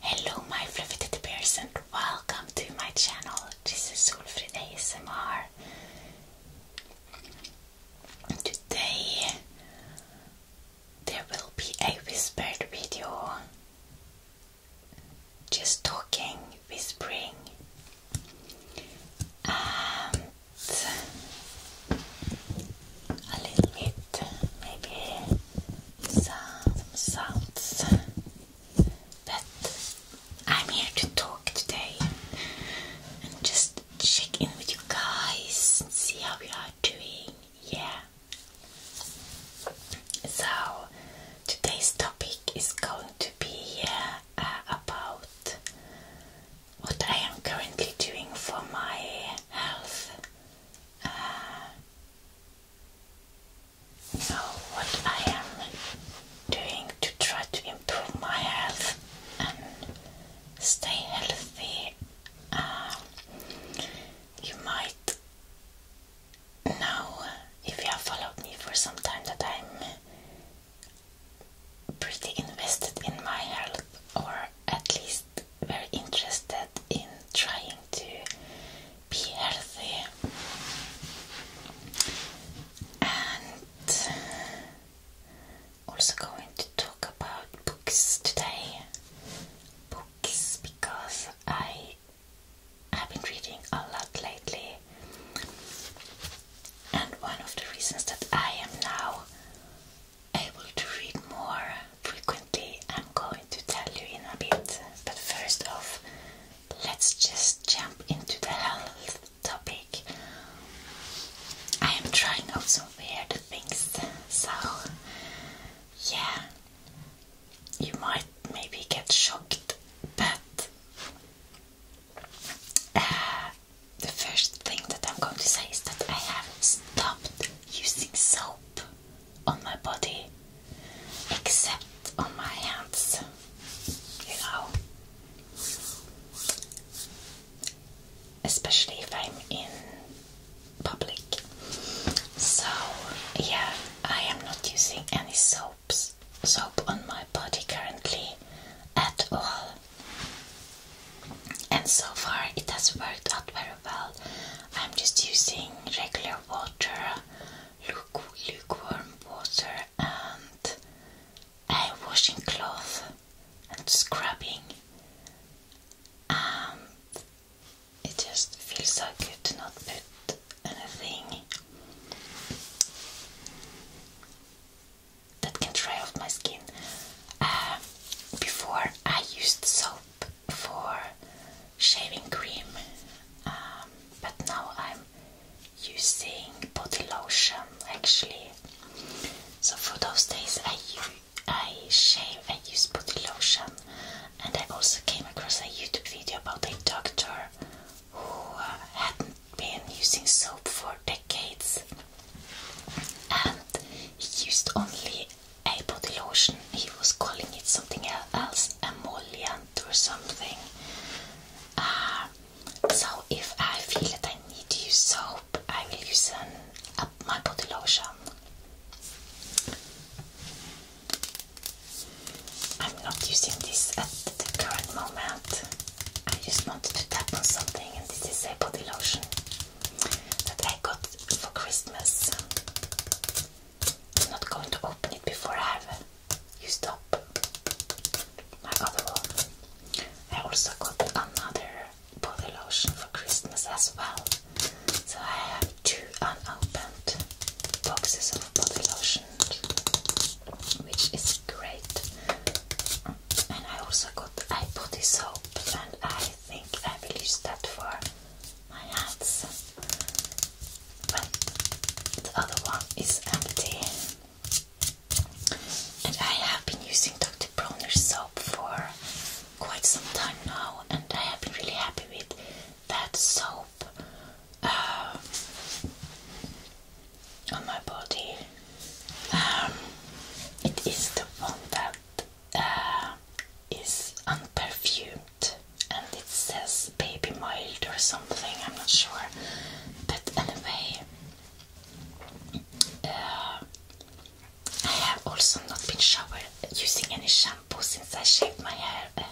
Hello my fluffy person. welcome to my channel. This is Solfrid ASMR. Today there will be a whispered video. Just talking, whispering. a little bit Maybe some sounds. But I'm here to talk today and just check in with you guys see how we are doing. Yeah. So today's topic is going to be uh, about what I am currently doing for my health. Uh, so, what I am doing to try to improve my health and stay healthy, uh, you might know if you have followed me for some time that I'm pretty invested in my health, or at least very interested in trying to be healthy and uh, also going to talk about books today. Books because I have been reading a lot lately, and one of the reasons that I am now able to read more frequently, I'm going to tell you in a bit. But first off, let's just jump into the health topic. I am trying out some weird things, so yeah, you might maybe get shocked, but uh, the first thing that I'm going to say is that I have not stopped using soap on my body except on my hands, you know. Especially if I'm in public. So, yeah, I am not using any soaps, soap on my body currently at all. And so far, it has worked out very well. I'm just using regular water, lukewarm water, and a washing cloth and scrubbing. Um, it just feels so good to not put anything that can dry off my skin. Uh, before I used soap for shaving cream, um, but now I'm using body lotion actually. So for those days I I shave, I use body lotion, and I also came across a YouTube video about a doctor who uh, hadn't been using soap for decades, and he used only a body lotion. He was calling it something else, emollient or something. Ah, so if I feel that I need to use soap, I will use an, uh, my body lotion. I'm not using this at the current moment. I just wanted to tap on something, and this is a body lotion that I got for Christmas. I'm not going to open it before I have used up my other one. I also got another body lotion for Christmas as well. So I have two unopened boxes of body lotion, which is great. And I also got eye body soap, and I think I will use that for my hands when the other one is empty. And I have been using Dr. Bronner's soap for quite some time now, and I have been really happy with that soap uh, on my body. Um, it is the one that uh, is unperfumed and it says baby mild or something, I'm not sure. But anyway, uh, I have also not been showered using any shampoo since I shaved my hair, uh,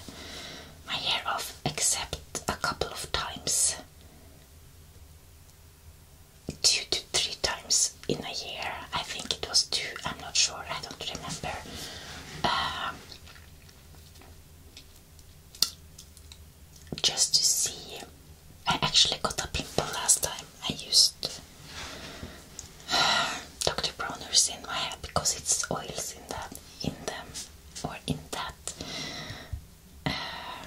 my hair off, except a couple of times, two to three times in a year. I think it was two, I'm not sure, I don't remember. Um, just to see. I actually got a pimple last time. I used Dr. Bronner's in my head because it's oils in that, in them, or in that. Uh,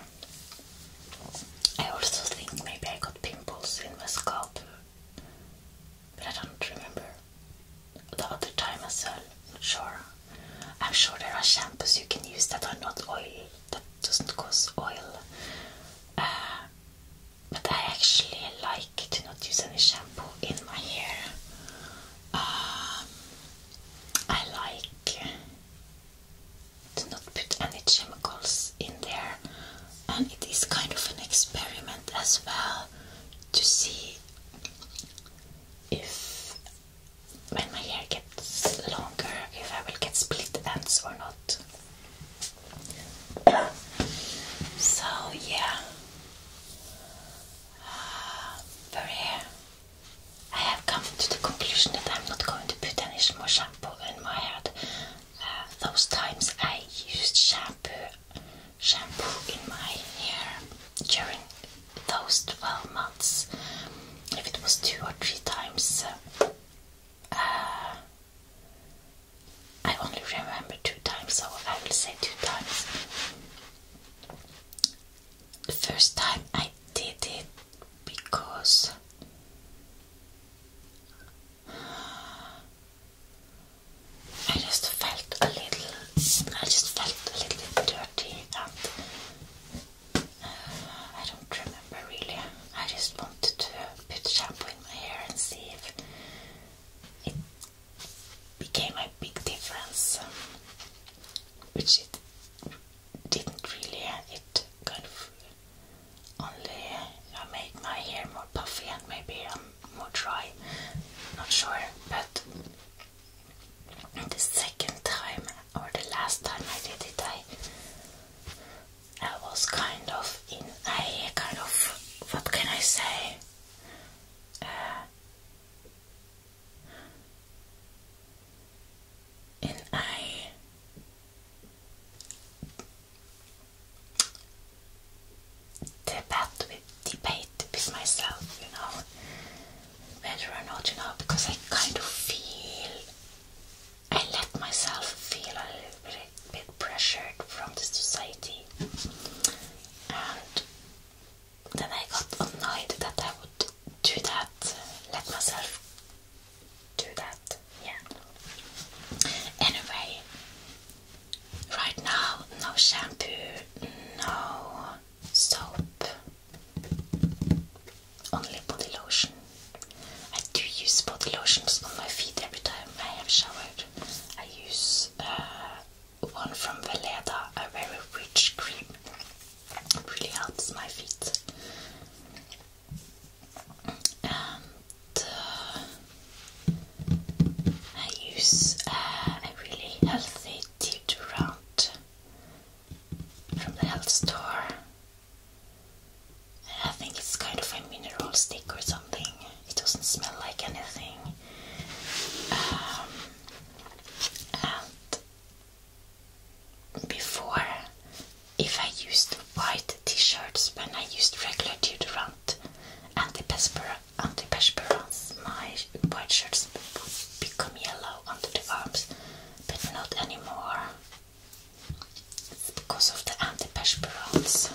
I also think maybe I got pimples in my scalp but I don't remember the other time as well. Not sure. I'm sure there are shampoos you can use that are not oil that doesn't cause oil. Uh, but I actually like to not use any shampoo in my hair. Um, I like to not put any chemicals in there, and it is kind of an experiment as well to see if when my hair gets longer if I will get split ends or not. so yeah, uh, very. I have come to the conclusion that I'm not going to put any more shampoo in my head those times I used shampoo shampoo in my hair during those 12 months if it was two or three times uh, uh, I only remember two times so I will say two times the first time I did it because I just felt a little, I just felt a little dirty and uh, I don't remember really. I just wanted to put shampoo in my hair and see if it became a big difference, um, which it didn't really. It kind of only uh, I made my hair more puffy and maybe I'm more dry. Not sure, but the second time or the last time I did it, I I was kind of in a kind of what can I say? Uh, in a debate debate with myself, you know, whether or not, you know, because I kind of feel, I let myself feel a little bit pressured from the society, and then I got annoyed that I would do that, let myself do that, yeah. Anyway, right now, no shampoo, no soap, only body lotion. I do use body lotions on my feet every time I have showered. I use uh, one from Veleda, a very rich cream. really helps my feet and uh, I use uh, a really healthy deodorant from the health store. I think it's kind of a mineral stick or something. It doesn't smell like anything. Um, and before, if I used white t-shirts when I used regular deodorant front antiperspirants. My white shirts would become yellow under the arms, but not anymore. It's because of the antiperspirants.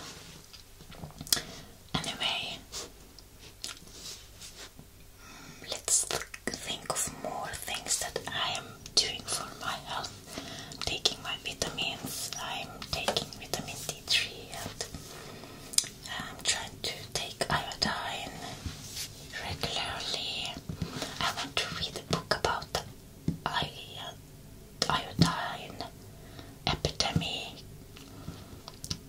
Anyway, let's think of more things that I am doing for my health taking my vitamins. I'm taking vitamin D3 and I'm um, trying to take iodine regularly. I want to read a book about the iodine epidemic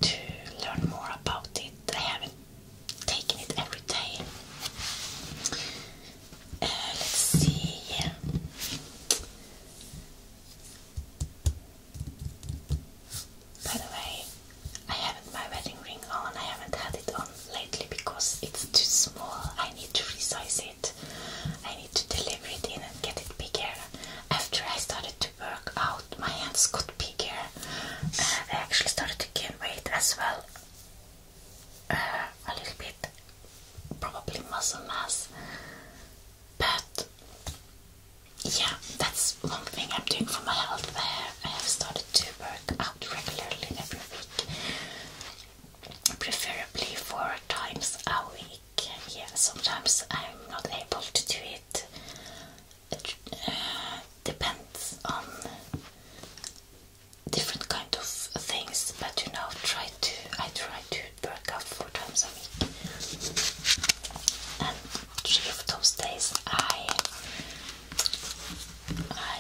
to learn more about it. I haven't taken it every day. Uh, let's see. By the way, I haven't my wedding ring on, I haven't had it on lately because it's too small. I need to resize it. I need to deliver it in and get it bigger. After I started to work out, my hands got bigger. I uh, actually started to gain weight as well. Uh, a little bit probably muscle mass. But yeah, that's one thing I'm doing for my health. There, I have started to work out regularly every week, preferably four times a week. Yeah, sometimes I'm not able to do it. It uh, depends on different kind of things, but you know, try to I try to work out four times a week. And three those days I I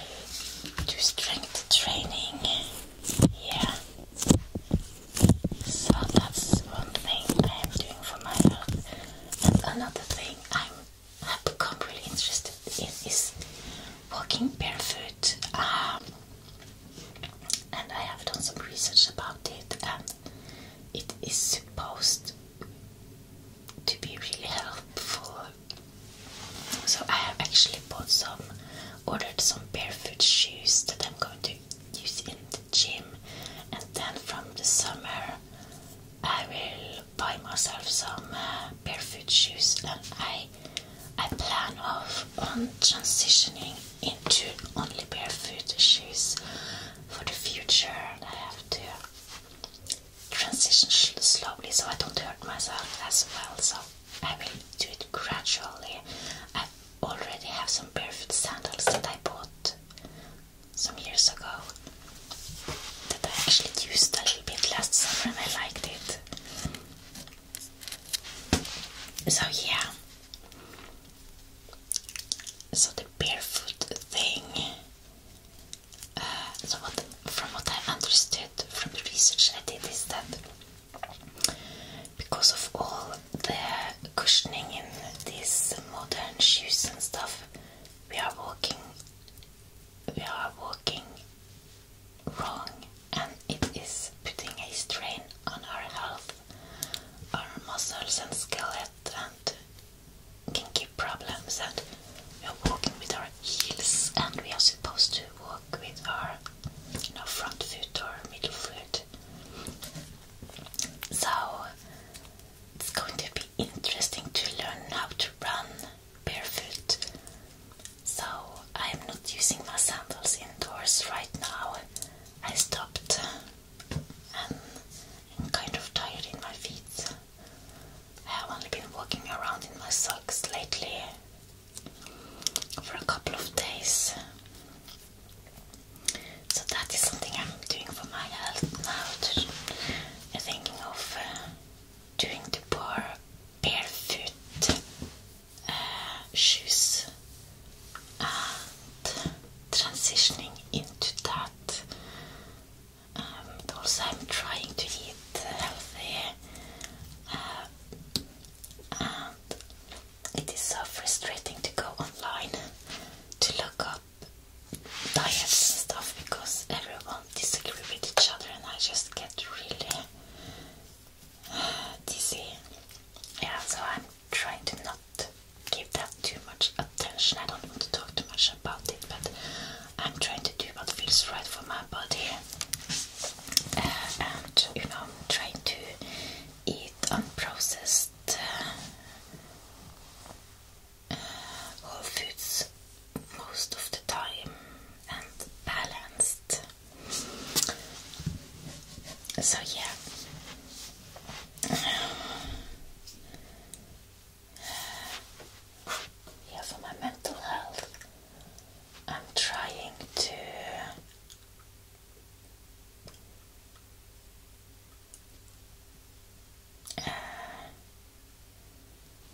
do strength training. Yeah. So that's one thing I am doing for my health. And another thing i have become really interested in is walking barefoot. Um, and I have done some research about it, and it is supposed to be really helpful. So I have actually bought some, ordered some barefoot shoes that I'm going to use in the gym, and then from the summer I will buy myself some uh, barefoot shoes, and I I plan of on um, transitioning into only barefoot shoes for the future. I have to transition slowly so I don't hurt myself as well. So I will do it gradually. I already have some barefoot sandals that I bought some years ago that I actually used a little bit last summer and I liked it. So yeah. So the barefoot thing. Uh, so what, from what I understood from the research I did is that because of all the cushioning in these modern shoes and stuff, we are walking, we are walking wrong and it is putting a strain on our health, our muscles and skeleton and can give problems and we are walking with our heels and we are supposed to walk with our you know, front foot or middle foot. So it's going to be interesting to learn how to run barefoot so I'm not using my sandals indoors right now. I stopped um, and I'm kind of tired in my feet. I have only been walking around in my socks lately for a couple of days. So that is something I'm doing for my health now. I'm thinking of uh, doing the bar barefoot uh, shoes transitioning into that. Um, also, I'm trying to eat healthy, uh, and it is so frustrating to go online to look up diets and stuff because everyone disagrees with each other, and I just get really dizzy. Yeah, so I'm trying to not give that too much attention. I don't want to talk too much about it, but I'm trying to do what feels right for my body. Uh, and you know, I'm trying to eat unprocessed uh, uh, whole foods most of the time and balanced. So yeah. Yeah, for my mental health, I'm trying to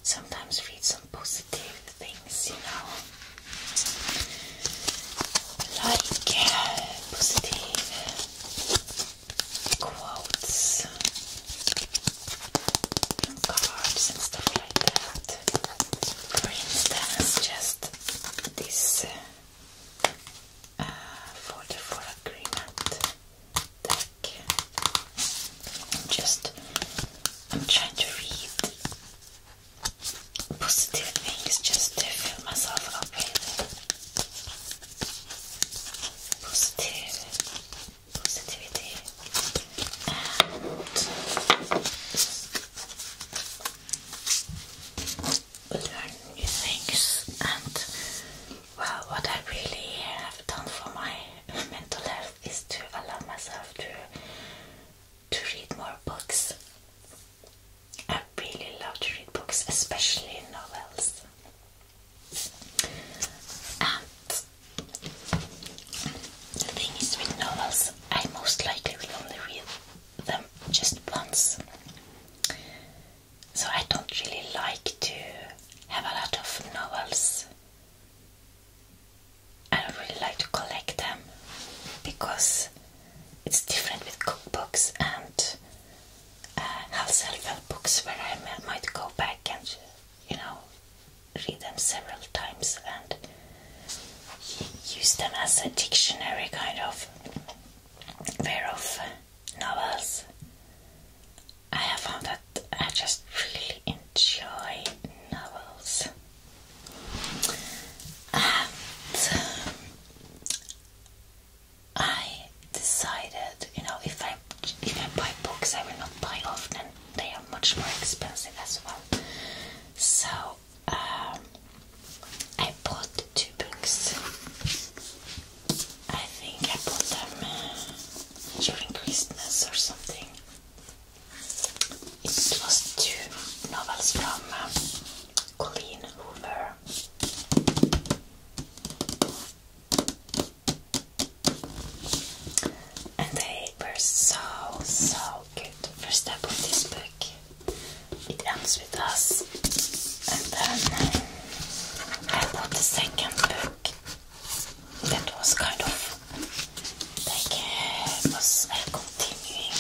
sometimes read some positive things, you know, like uh, positive quotes cards and stuff like that. For instance, just this uh, folder for agreement just I'm trying to read positive things just to fill myself up with positive things and well what I really have done for my mental health is to allow myself to to read more books. I really love to read books, especially novels. And the thing is, with novels, I most likely will only read them just once. So I don't really like to have a lot of novels I really like to collect them because it's different with cookbooks and uh, self-help books where I might go back and you know read them several times and use them as a dictionary kind of where of uh, novels. I have found that I just really enjoy novels. I decided, you know, if I if I buy books, I will not buy often. They are much more expensive as well. So um, I bought two books. I think I bought them uh, during Christmas or something. It was two novels from um, Colleen Hoover. And they were so, so good. First step of this book, it ends with us. And then um, I bought the second book that was kind of Take uh, us uh, continuing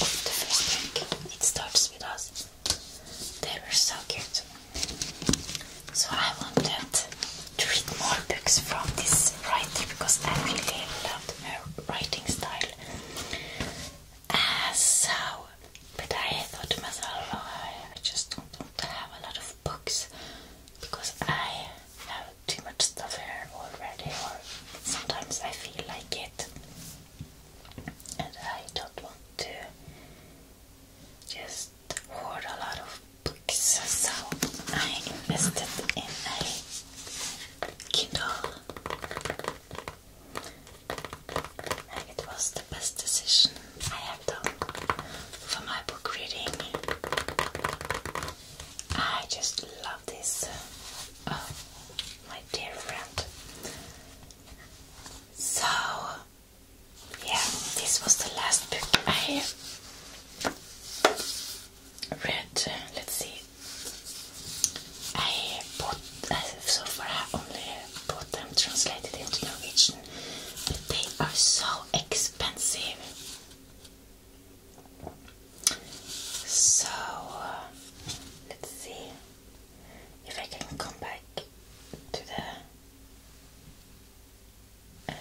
with the first drink. It starts with us. They were so cute. So I wanted to read more books from this writer because I really loved her writing style. Uh, so, but I thought myself, oh, I just don't have a lot of books because I have too much stuff here already, or sometimes I feel like it, and I don't want to just hoard a lot of books, so I invested in a Kindle. And it was the best decision I have done for my book reading. I just this. Uh, my dear friend. So, yeah, this was the last book I read. Let's see. I bought, so far only bought them translated into Norwegian, but they are so expensive. So let's see if I can come back to the. Uh,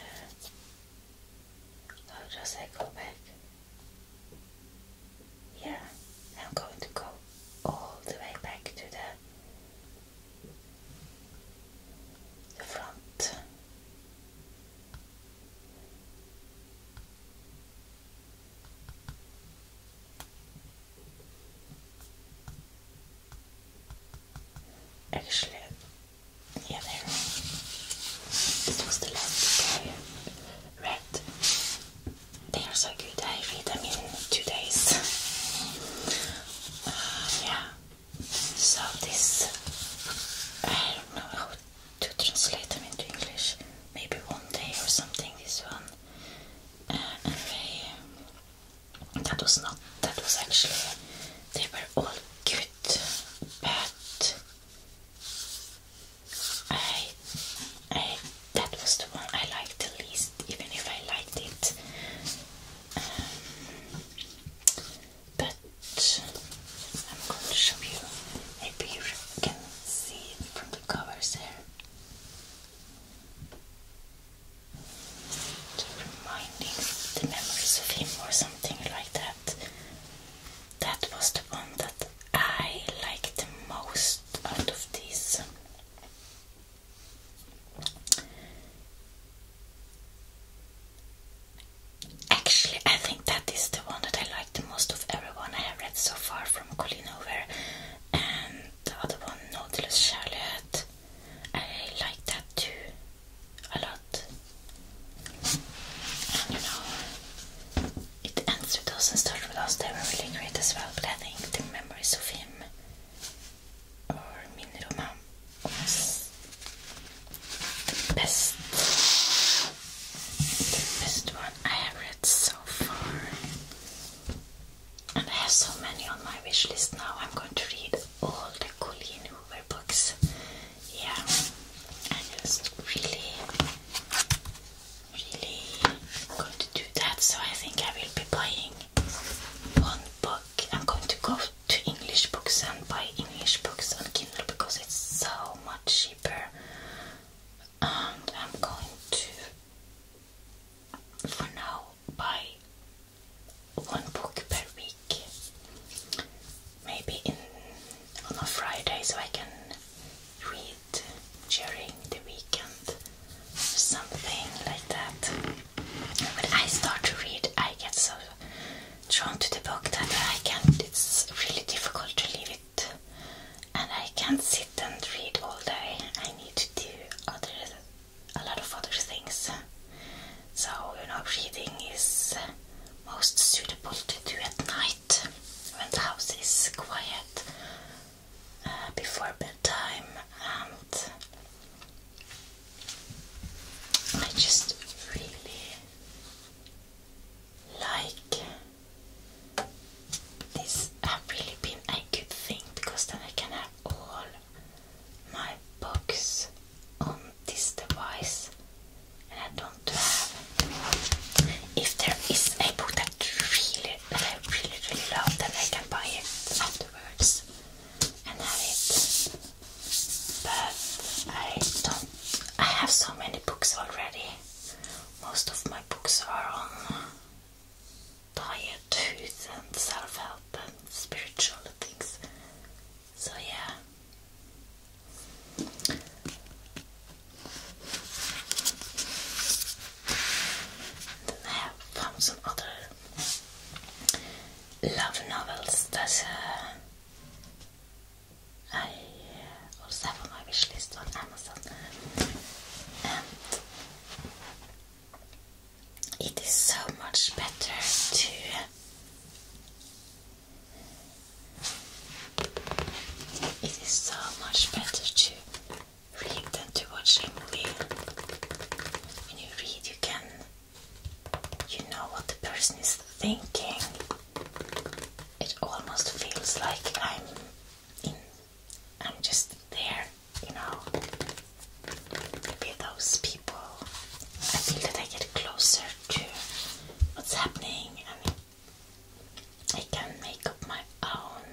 how does I go back? Yeah, I'm going to go all the way back to the front. Actually, yeah, there. This was the last book I They are so good. I will read them in two days. Uh, yeah. So this, I don't know to translate them into English. Maybe one day or something. This one. Uh, um, that was not. That was actually. They were all good, but I, I. That was the one I liked the least, even if I liked it. Um, but I'm going to show you. Maybe you can see from the covers there. Reminding the memories of him or something like that. That was the one that I liked the most out of these. Actually, I think that is the one that I like the most of everyone I have read so far from Colleen Hoover. And the other one, Nautilus Charlotte. I like that too a lot. And you know, it ends with us and starts with us. They were really great as well, but I think the memories of him or Miniroma the best, the best one I have read so far. And I have so many on my wish list now. I'm going to read all the Colleen Hoover books. Yeah, I just really, really going to do that. So I think I will be buying one book. I'm going to go to English books and buy English books on Kindle because it's so much cheaper. I'm going to, for now, buy one book per week. Maybe in on a Friday, so I can read during the weekend something like that. When I start to read, I get so drawn to the book that I can't, it's really difficult to leave it and I can't sit and read all day. I need to do other, a lot of other things. So, you know, reading is most suitable to do at night when the house is quiet uh, before bedtime and I just really like this have really been a good thing because then I can have all my books on this device and I don't have if there is a book that really that I really really love then I can buy it afterwards and have it but I don't I have so many books already. Most of my books are on diet, and self help and spiritual things. So, yeah. Then I have some other love novels that uh, I also have on my list on Amazon, and it is so much better to it is so much better to read than to watch a movie. When you read, you can you know what the person is thinking it almost feels like I'm in I'm just there, you know. Maybe those people I feel that I get closer to what's happening and I can make up my own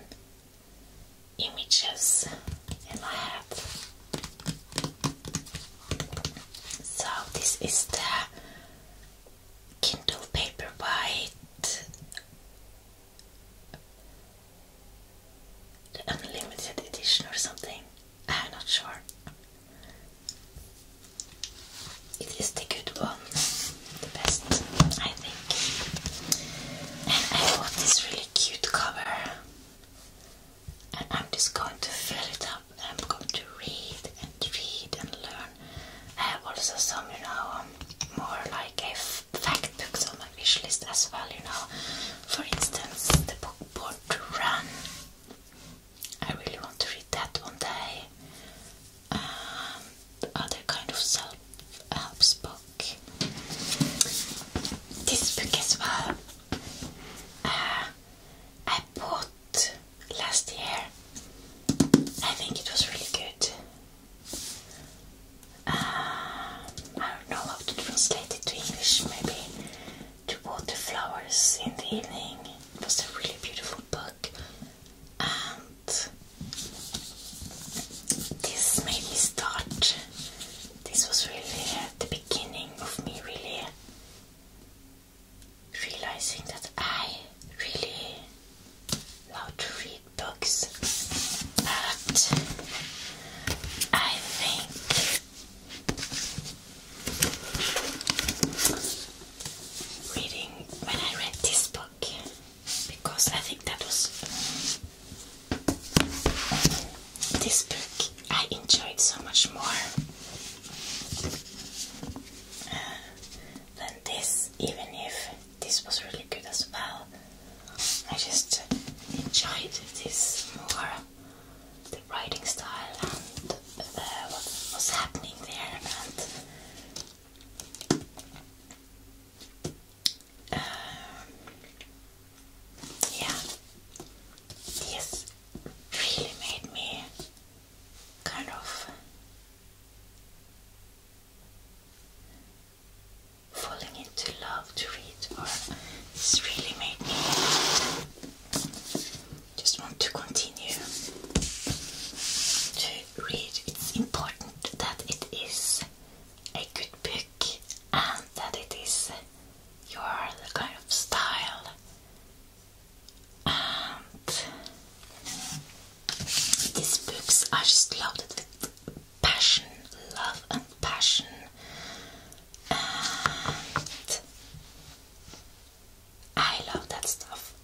images in my head. So this is the Kindle Paperwhite the Unlimited Edition or something. Ah, I'm not sure. It is the good one, the best, I think. And I bought this really cute cover, and I'm just going to fill it up I'm going to read and read and learn. I have also some, you know, um, more like a fact books on my wish list as well, you know. For instance, the book Born to Run. I really want to read that one day. Um, other kind of self help book. This book as well. Uh, I bought last year. I think it was really good. Um, I don't know how to translate it to English, maybe to water flowers in the evening. It was a really beautiful book, and this made me start. This was really the beginning of me really realizing that I really love to read books, but I think reading when I read this book because I think that was this book I enjoyed so much more than this, even if this was really good as well. I just enjoyed this more the writing style and uh, what was happening there and um, yeah, this really made me kind of falling into love to read or this really made me just want to continue to read. It's important that it is a good book and that it is your kind of style and these books are just loaded with passion, love, and passion. I love that stuff.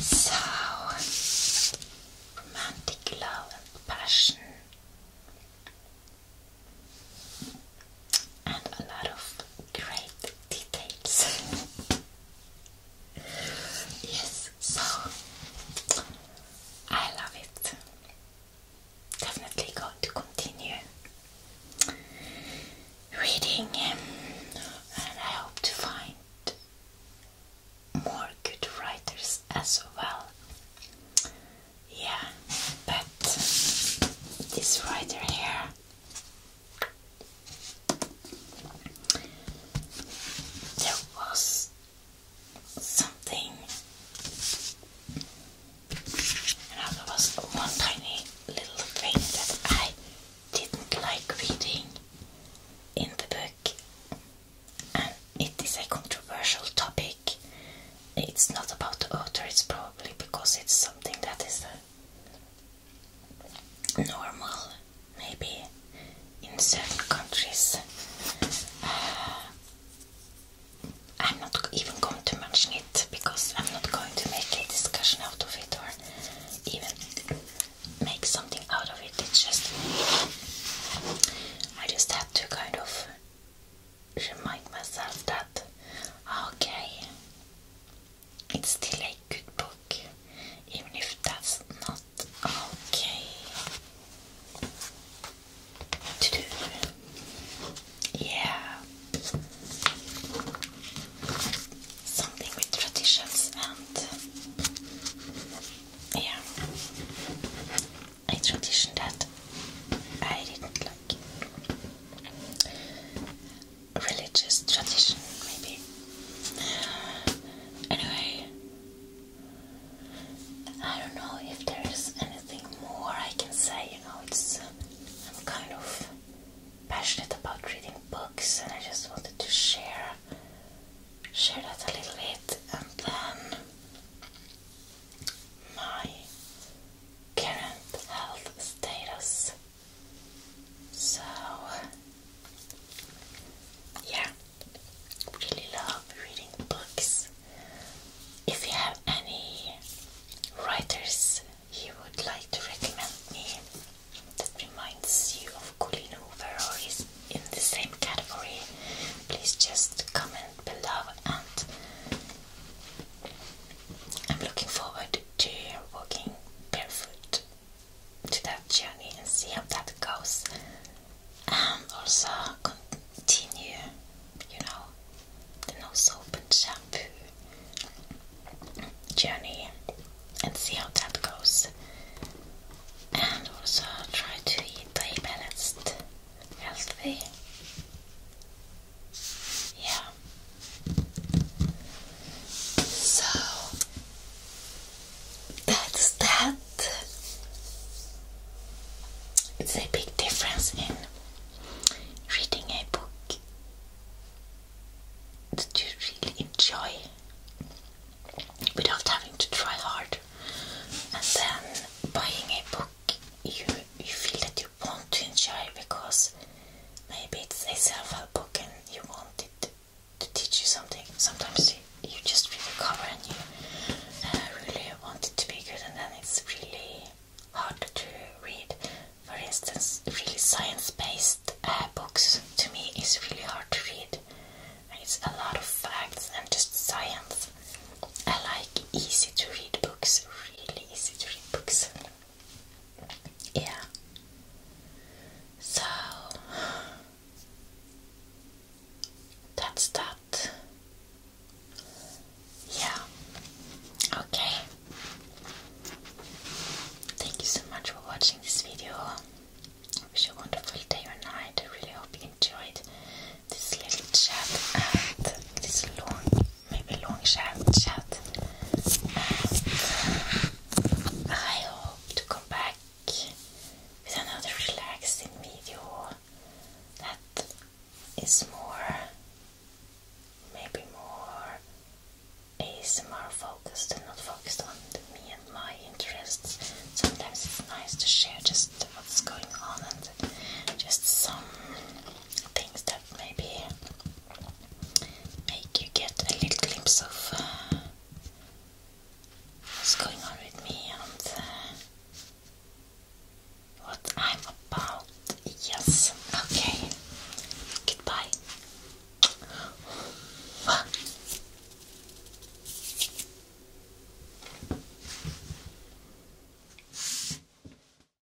so, romantic love and passion and a lot of great details. yes, so I love it. Definitely going to continue reading, um, and I hope to find more good writers as well. Yeah, but this writer here there was something, you there was one tiny little thing that I didn't like reading in the book, and it is a controversial topic. It's not about the author, it's probably because it's something that is normal, maybe in certain countries. I'm not even going to mention it because I'm not going to make a discussion out of it or even make something out of it. It's just I just had to kind of remind myself that okay, it's still a good book, even if that's not okay Yeah. Something with traditions and yeah, a tradition that I didn't like religious tradition, maybe. Anyway, I don't know if there is anything more I can say. You know, it's I'm kind of passionate about reading books, and I just wanted to share share that a little bit, and then my current health status so, yeah, really love reading books. If you have any writers you would like to recommend me that reminds you of Colleen Hoover in the same category, please just comment below and I'm looking forward to walking barefoot to that journey and see how that goes. And um, also continue, you know, the no soap and shampoo journey and see how that goes. And also try to eat balanced, healthy yeah. So that's that. It's a big difference in reading a book that you really enjoy without having to try hard and then buying a book you you feel that you want to enjoy because maybe it's a self-help book and you want it to teach you something. Sometimes you, just read the cover and you uh, really want it to be good and then it's really hard to read. For instance, really science-based uh, books to me is really hard to read. It's a lot of facts and just science. I like easy to read books, really easy to read books. Yeah. So that's that. Yeah. Okay. Thank you so much for watching this video. wish you a wonderful day or night. I really hope you enjoyed this little chat and this long maybe long chat chat. I hope to come back with another relaxing video that is more maybe more ASMR focused and not focused on me and my interests. Sometimes it's nice to share just what's going on and just some things that maybe make you get a little glimpse of uh, what's going on with me and uh, what I'm about. Yes, okay. Goodbye.